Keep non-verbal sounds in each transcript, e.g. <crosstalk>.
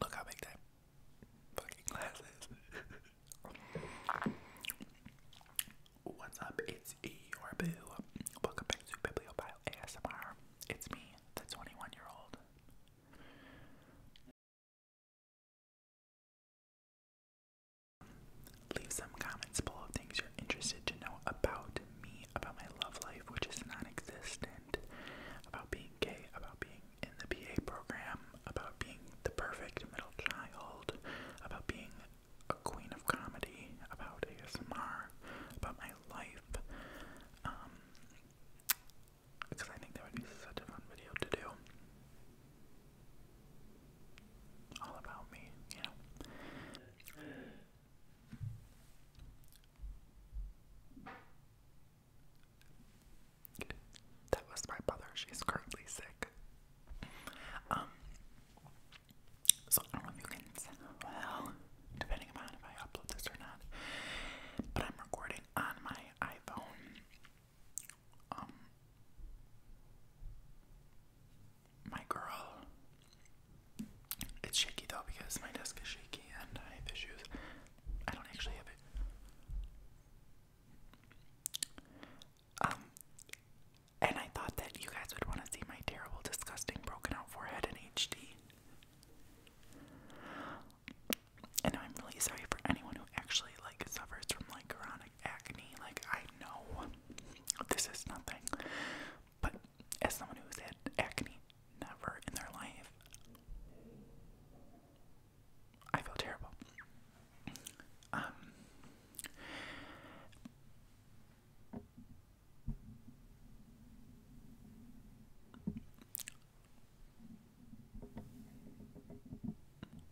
Look how big that fucking glass is. What's up? It's your Welcome back to Bibliophile ASMR. It's me, the 21 year old. Leave some comments below things you're interested to know about me about my love life, which is non existent, about being gay, about being in the PA program, about being the perfect middle child, about being a queen of comedy, about ASMR, about my life. Um, because I think that would be such a fun video to do. All about me, you that was my mother. She's currently sick. Um, so I don't know if you can well, depending upon if I upload this or not. But I'm recording on my iPhone. Um, my girl. It's shaky though because my desk is shaky and I have issues. I don't actually have it. Um, and I thought that you guys would want to see my terrible, disgusting, broken out forehead in HD. And I'm really sorry for anyone who actually like suffers from like chronic acne. Like I know this is nothing, but as someone who's had acne never in their life, I feel terrible. Um,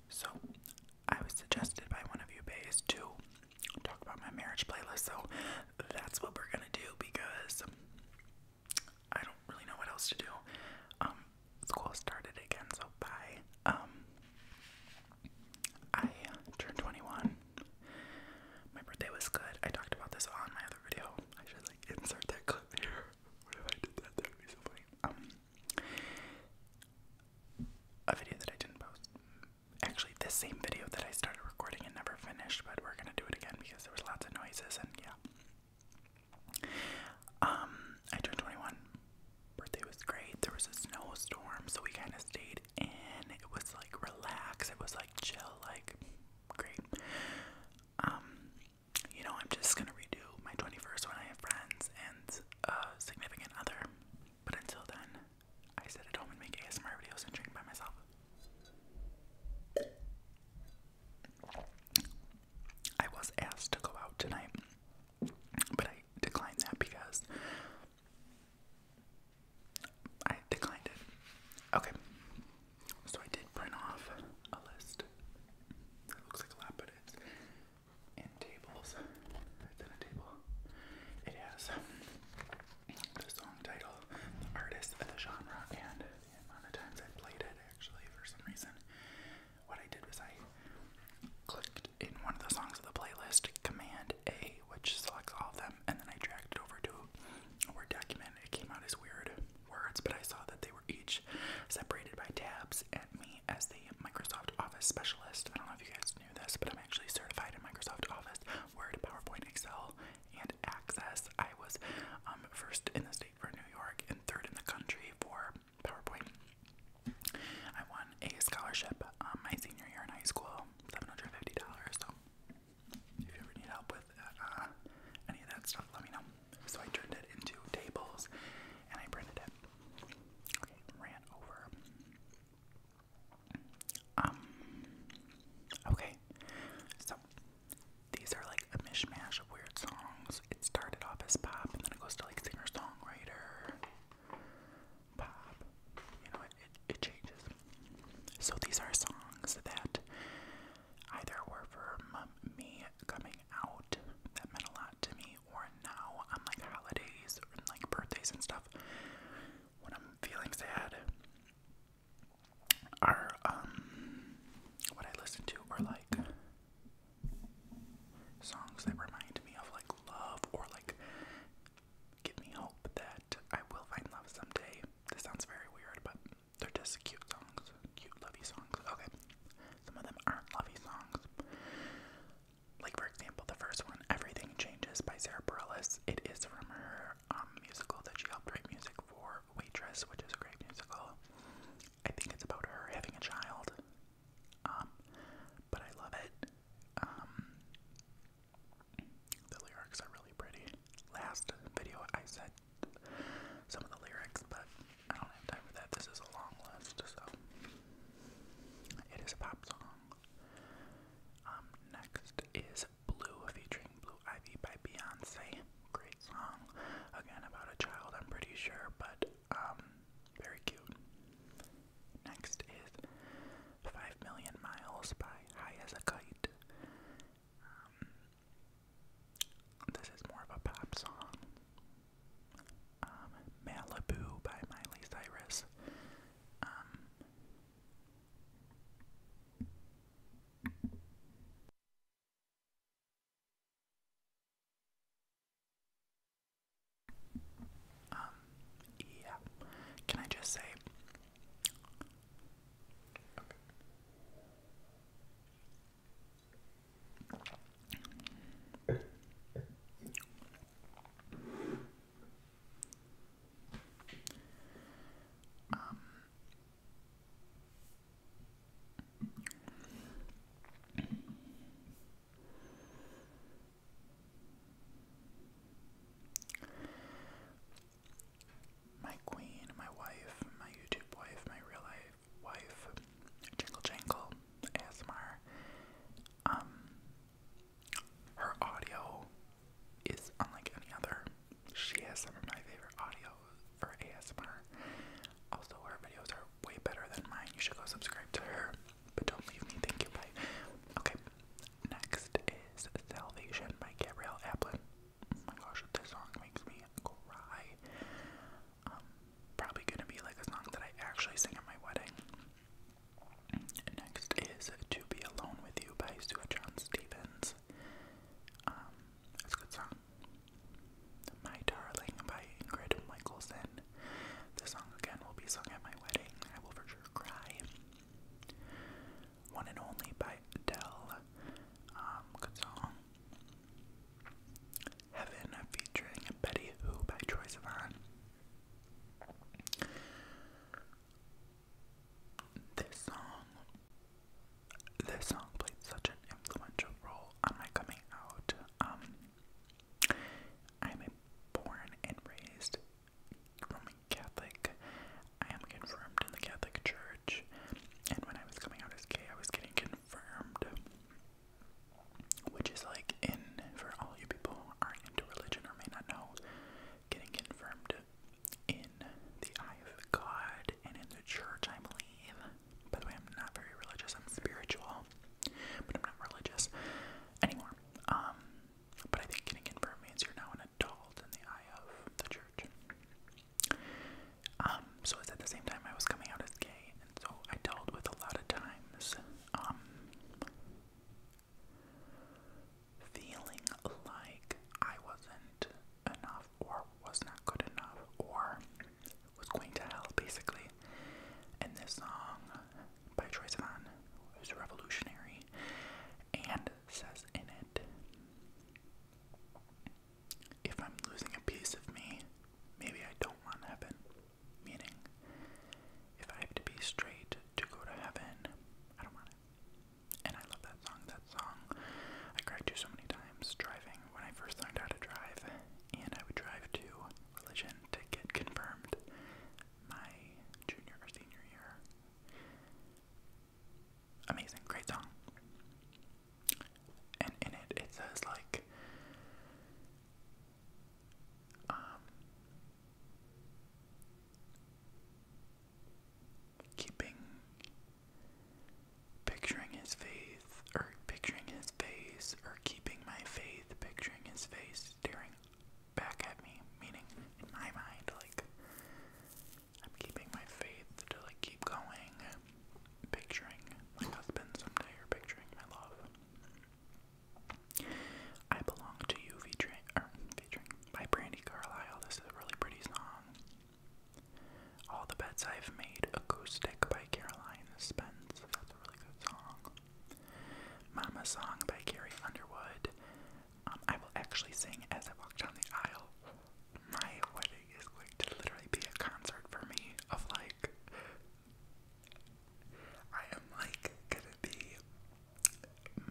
so, I was suggested by one of you bays to talk about my marriage playlist. So that's what we're gonna do because I don't really know what else to do. Um, school started again, so by um, I turned 21. My birthday was good. I talked about this on my other video. I should like insert that clip <laughs> here. What if I did that? That would Um, a video that I didn't post actually this same video that I started recording and never finished, but we're gonna do it again because there was lots of noises and yeah. Um, I turned 21. Birthday was great. There was a snowstorm, so we kind of stayed in. It was like relax. It was like chill. Like great. Um, you know, I'm just gonna redo my 21st when I have friends and a uh, significant other. But until then, I sit at home and make ASMR videos and drink by myself. I was asked to go out tonight, but I declined that because I declined it. Okay, so I did print off a list. It looks like a lot, but it's in tables. It's in a table. It the song title, the artist, the genre, and the amount of times I played it actually for some reason. What I did was I clicked in one of the songs of the playlist, Command A, which selects all of them, and then I dragged it over to Word document. It came out as weird words, but I saw that they were each separated by tabs, and me as the Microsoft Office specialist. I don't know if you guys knew this, but I'm actually certified in Microsoft Office, Word, PowerPoint, Excel, and access. I was um, first in the state for New York and third in the country for PowerPoint. I won a scholarship um, my senior year in high school, seven hundred fifty dollars. So if you ever need help with uh, any of that stuff, let me know. So I turned it into tables and I printed it. ran over. Um okay. So these are like a mishmash of weird songs. It started off as pop and then it goes to like singer songwriter pop. You know it, it changes. So these are songs that either were from me coming out that meant a lot to me or now I'm like holidays like birthdays and stuff. When I'm feeling sad, are um what I listen to are like songs that remind me of like love or like give me hope that I will find love someday. This sounds very weird, but they're just cute songs, cute lovey songs. Okay. Some of them aren't lovey songs. Like for example, the first one, Everything Changes by Sarah Bareilles. It is from her um, musical that she helped write music for Waitress, which is a great musical. I think it's about her having a child. Um, but I love it. Um, the lyrics are really pretty. Last video I said some of the lyrics, but I don't have time for that. This is a long list, so it is a pop song. next is is Blue featuring Blue Ivy by Beyonce. Great song. Again, about a child, I'm pretty sure, but um, very cute. Next is 5 Million Miles by High as a Kite. Um, this is more of a pop song. Um, Malibu by Miley Cyrus. Um, um, yeah. Can I just say? Um, my queen, my wife, my YouTube wife, my real life wife, Jingle Jangle, ASMR. Um, her audio is unlike any other. She has some of my favorite audio for ASMR. Also, her videos are way better than mine. You should go subscribe to her, but don't leave me. Thank you. Bye. Okay, next is Salvation by Gabrielle Applin. Oh my gosh, this song makes me cry. Um, probably gonna be like a song that I actually sing at my wedding. Next is To Be Alone With You by Sue John Stevens. Um, it's a good song. My Darling by Ingrid Michaelson. This song again will be sung at my wedding. I will for sure cry. One and Only by Adele. Um, good song. Heaven featuring Betty Who by Troye Sivan. This song, this song played such an influential role on my coming out. Um, I'm a born and raised Roman Catholic. I am confirmed in the Catholic Church, and when I was coming out as gay, I was getting confirmed, which is like in for all you people are into religion or may not know getting confirmed in the eye of God and in the church, I believe. By the way, I'm not very religious, I'm spiritual, but I'm not religious anymore. Um, but I think getting confirmed means you're now an adult in the eye of the church. Um, so it's at the same time I was coming out as gay, and so I dealt with a lot of times, um, feeling like I wasn't enough or was not good enough or was going to hell basically. And this song by Troye Sivan is revolutionary and says in it if I'm losing a piece of me, maybe I don't want heaven. Meaning, if I have to be straight to go to heaven, I don't want it. And I love that song. That song I cried to so many times driving when I first learned how to drive, and I would drive to religion to get confirmed my junior or senior year. Amazing, great song. And in it, it says, like, um, keeping Picturing his faith, or picturing his face, or keeping my faith, picturing his face staring back at me, meaning in my mind, like, I'm keeping my faith to, like, keep going, picturing my husband someday, or picturing my love. I belong to you, featuring, er, featuring by Brandy Carlisle. This is really pretty song. All the Beds I've Made Acoustic by Caroline Spence. That's a really good song. Mama Song by Carrie Underwood. Um, I will actually sing as I walk down the aisle. My wedding is going to literally be a concert for me of like I am like gonna be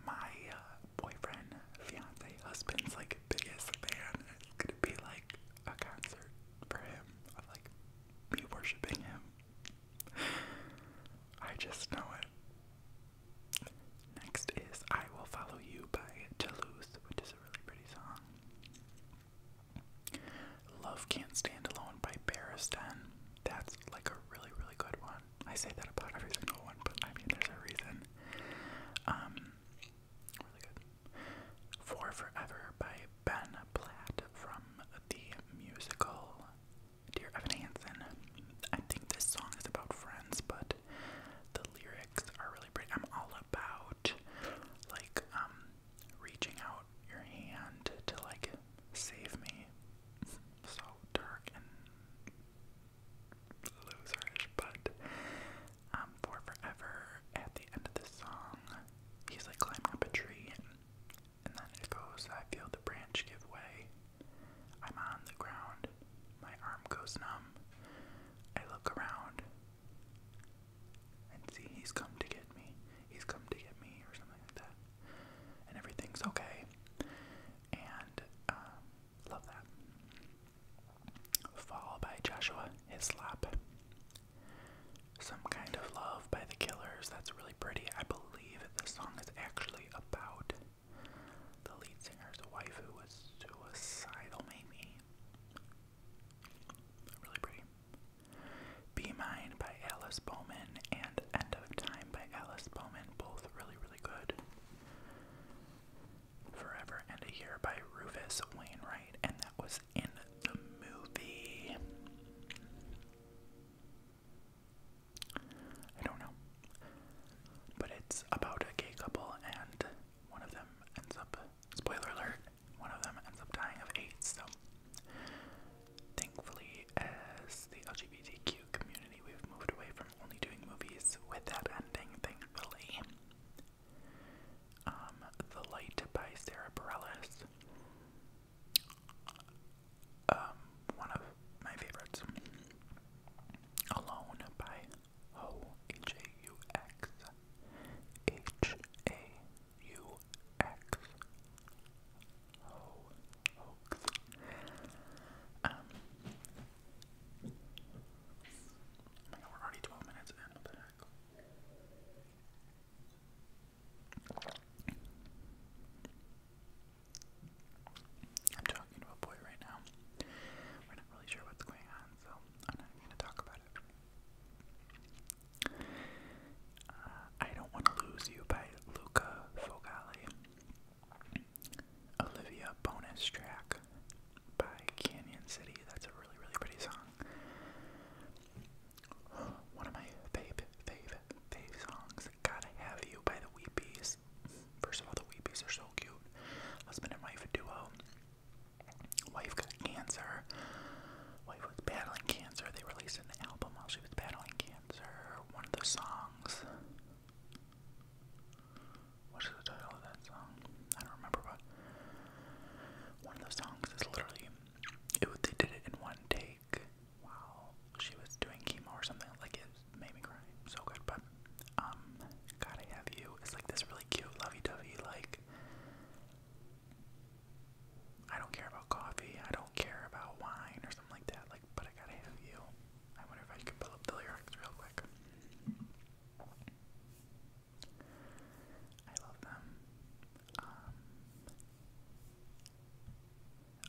my uh, boyfriend, fiance, husband's like biggest fan. It's gonna be like a concert for him of like me worshiping him. I just know it. Next is I Will Follow You by Toulouse, which is a really pretty song. Love Can't Stand Alone by Barristan. That's like a really, really good one. I say that about every single one, but I mean, there's a reason. Um, for Forever by Ben Platt from the musical Dear Evan Hansen. I think this song is about friends, but the lyrics are really pretty. I'm all about like um, reaching out your hand to like save me. So dark and loserish, but um, for forever at the end of this song. He's like climbing up a tree, and, then it goes, I feel the branch give way. I'm on the ground, my arm goes numb. I look around and see he's come to get me. He's come to get me, or something like that. And everything's okay. And um, love that followed by Joshua Hislop. Some Kind of Love by The Killers. That's really pretty. I believe this song is actually about the lead singer's wife who was suicidal, maybe. Really pretty. Be Mine by Alice Bowman and End of Time by Alice Bowman. Both really, really good. Forever and a Year by Rufus Wainwright, and that was in the movie. I don't know. But it's about a gay couple, and one of them ends up, spoiler alert, one of them ends up dying of AIDS. So, thankfully, as the LGBTQ community, we've moved away from only doing movies with that ending, thankfully. Um, the Light by Sarah Bareilles. Um, one of my favorites. Alone by Ho Oh I'm talking to a boy right now. We're not really sure what's going on, so I'm not going to talk about it. Uh, I Don't Want to Lose You by Luca Fogali. Olivia bonus track by Canyon City. That's a really, really pretty song. <gasps> One of my fave, fave, fave songs, Gotta Have You by the Weepies. First of all, the Weepies are so cute. Husband and wife duo. Wife got cancer. Wife was battling cancer. They released an album while she was battling cancer. One of the songs. What is the title of that song? I don't remember, but one of those songs is literally it. They did it in one take Wow. she was doing chemo or something. Like it made me cry, so good. But um, gotta have you. It's like this really cute, lovey-dovey. Like I don't care about coffee. I don't care about wine or something like that. Like, but I gotta have you. I wonder if I could pull up the lyrics real quick. I love them. Um,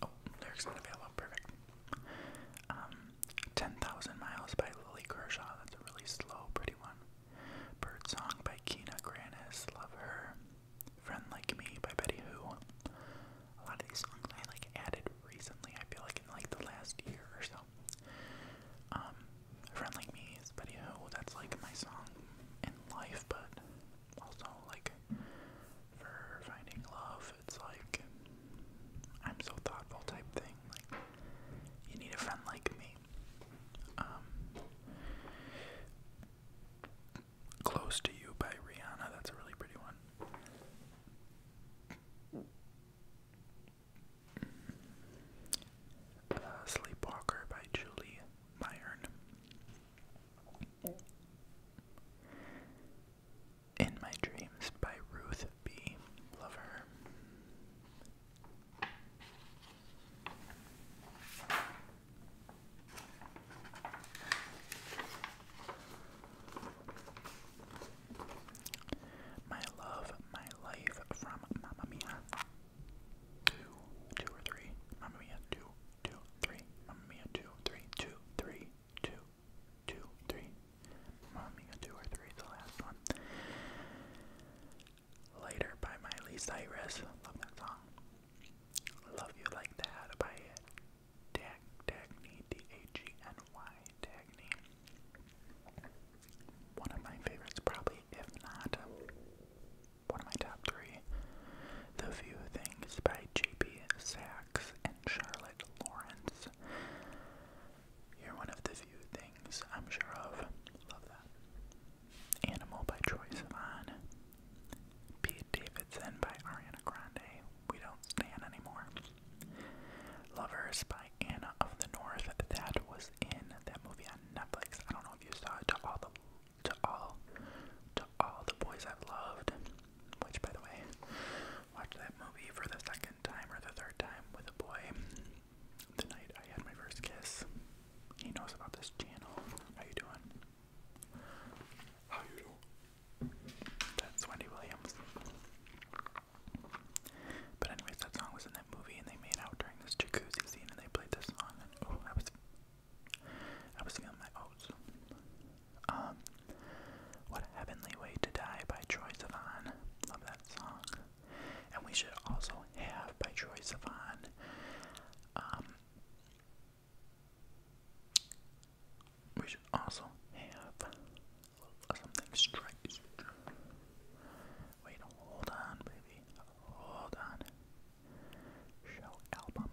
oh, lyrics not available. Perfect. Um, 10,000 Miles by Lily Kershaw. That's a really slow, pretty one. Bird by Keena Granis. Love her. Friend Like Me by Betty Who. A lot of these songs I like added recently. I feel like in like the last year or so. Um, a friend like me is Buddy Ho. That's like my song in life, but also like for finding love. It's like I'm so thoughtful type thing. Like you need a friend like me. Um, Close to You by Rihanna. That's a really pretty one. Sleepwalker by Julie Myron. In My Dreams by Ruth B. Lover. My Love, My Life from Mamma Mia. Two, two or three. Mamma Mia, two, two, three. Mamma Mia, two, three, two, three, two, two, three. Mamma Mia, two or three, the last one. Later by Miley Cyrus. Love that song. Love You Like That by Dagny, D-A-G-N-Y, Dagny. One of my favorites, probably, if not one of my top three. The Few Things by J.B. Sachs and Charlotte Lawrence. You're one of the few things I'm sure of. Love that. Animal by Troy Sivan. Pete Davidson by Ariana Grande. We Don't Stand Anymore. Lovers by Anna of the North. That was in that movie on Netflix. I don't know if you saw it. To all the, to all, to all the boys i loved. Which, by the way, watched that movie for the second time or the third time with a boy. The I had my first kiss. He knows about this channel. How you doing? How you doing? That's Wendy Williams. But anyways, that song was in that movie, and they made out during this jacuzzi scene, and they played this song, oh, I was, I was feeling my oats. Um, What a Heavenly Way to Die by Troy Sivan, love that song. And We Should Also Have by Troy Sivan. Um, we should also have something straight. Wait, hold on, baby. Hold on. Show album.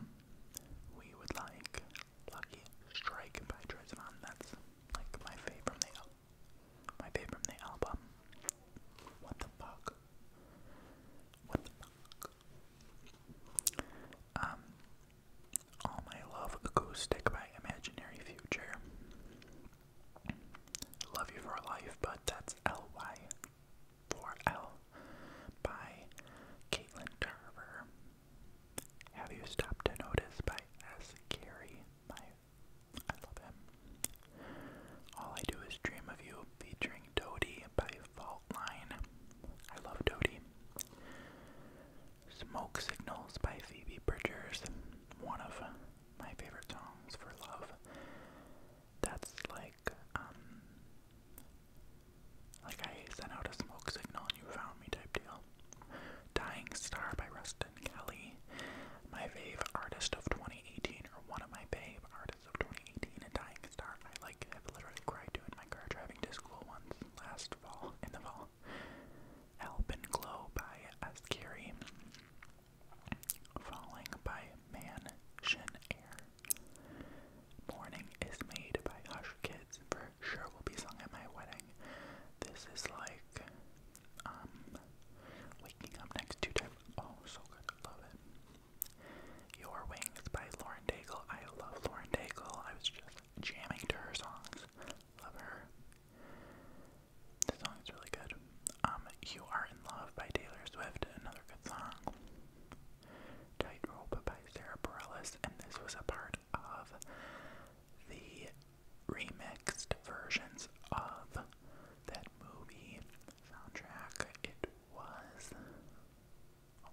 We would like Lucky Strike by Drizmon. That's like my fave My fave from the album. What the fuck? Um, All My Love Acoustic by Imaginary Future. Love You for Life, but that's L-Y for L by Caitlin Tarver. Have You Stopped to Notice by S. Carey. I love him. All I Do Is Dream of You featuring Dodie by Fault I love Dodie. Smoke Signals by Phoebe Bridgers, one of my favorite songs for love. That's like, um, like I sent out a smoke signal and you found me type deal. Dying Star by Rustin Kelly, my fave artist of 2018, or one of my fave artists of 2018, and Dying Star. I like have literally cried to my car driving to school once last fall in the fall. Help and Glow by S. Falling by Man Shin Air. Morning is Made by Hush Kids for sure will be sung at my wedding. This is like um waking up next to type oh so good, love it. Your Wings by Lauren Daigle. I love Lauren Daigle. I was just jamming to her songs. Love her. The song is really good. Um, you Are in Love by Taylor Swift, another good song. Tightrope by Sarah Bareilles, and this was a part of the remixed versions of that movie soundtrack. It was. Oh,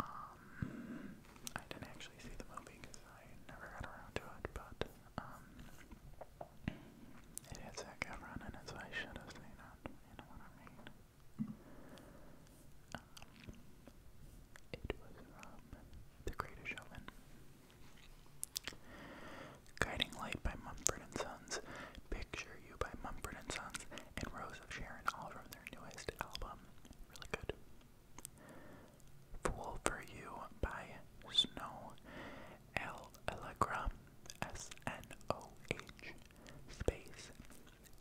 um, I didn't actually see the movie because I never got around to it, but um, it hits that guy running I should have seen it, you know what I mean? Um, it was from um, The Greatest Showman. Guiding Light by Mumford & Sons, Picture You by Mumford & Sons, and Rose of Sharon all from their newest album. Really good. Fool for You by Snow L Allegra S N O H space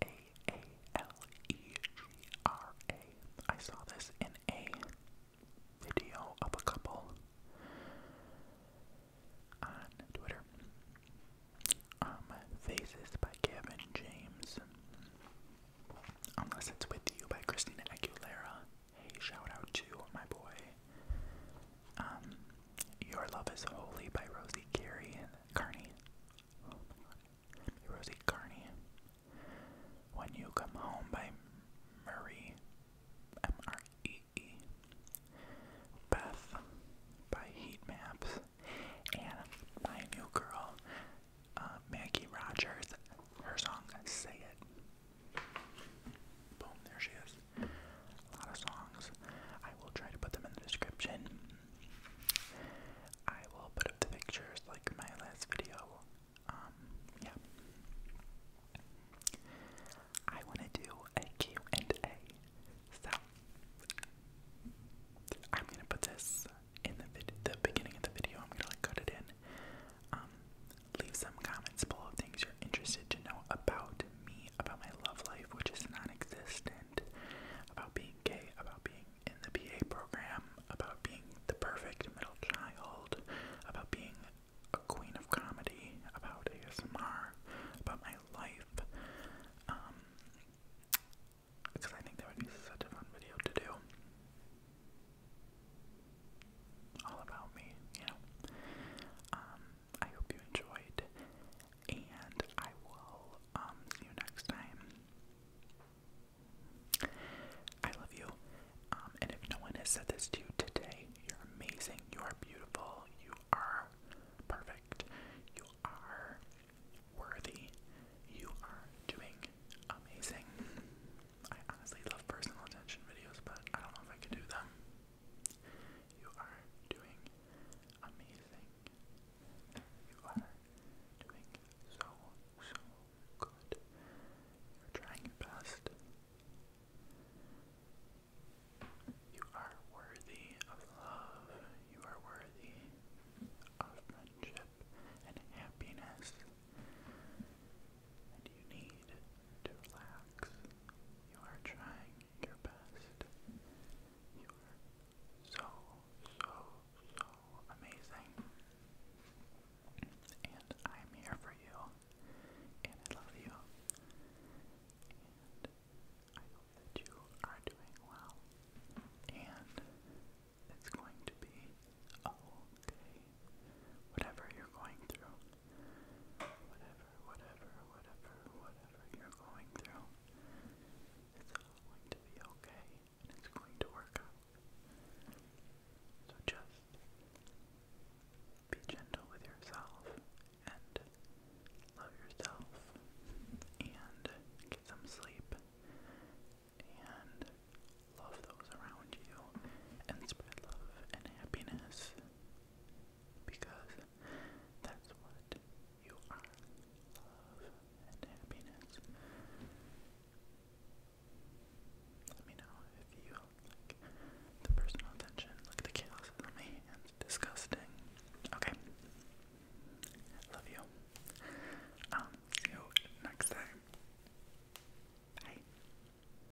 A A L E G R A. I saw this in a video of a couple on Twitter. Um, Faces by Kevin James. Unless it's with you by Christina Aguilera. Hey, shout out to my boy. Um, Your Love is Holy by Rosie Carey and Carney. Oh Rosie Carney. When You Come Home by Marie. M R E E. Beth by Heat Maps. And my new girl, uh, Maggie Rogers, her song Say It. Boom, there she is. A lot of songs. I will try to put them in the description. I will put up the pictures like my last video. Um, yeah. I wanna do a and a so I'm gonna put this in the, vid the beginning of the video. I'm gonna cut it in um, leave some comments below things you're interested to know about me, about my love life, which is non existent, about being gay, about being in the PA program, about being the perfect middle child, about being a queen of comedy, about ASMR, about my life. because um, I think that would be such a fun video to do all about me, you know. Um, I hope you enjoyed, and I will um see you next time. I love you. Um, and if no one has said this to you today, you're amazing. You are beautiful. You are perfect. You are worthy. You are doing amazing. I honestly love personal attention videos, but I don't know if I could do them. You are doing amazing. You are doing so, so good. You're trying your best. You are worthy of love. You are worthy of friendship and happiness and you need to relax. You are trying your best. You are so, so, so amazing. And I'm here for you. And I love you. And I hope that you are doing well. And it's going to be okay. Whatever you're going through, Whatever, whatever, whatever, whatever you're going through, it's all going to be okay and it's going to work out. So just be gentle with yourself and love yourself and get some sleep and love those around you and spread love and happiness because that's what you are love and happiness. Let me know if you like the personal attention. Look the chaos on my hands. Disgusting. Okay. Love you. Um, see you next time. Bye.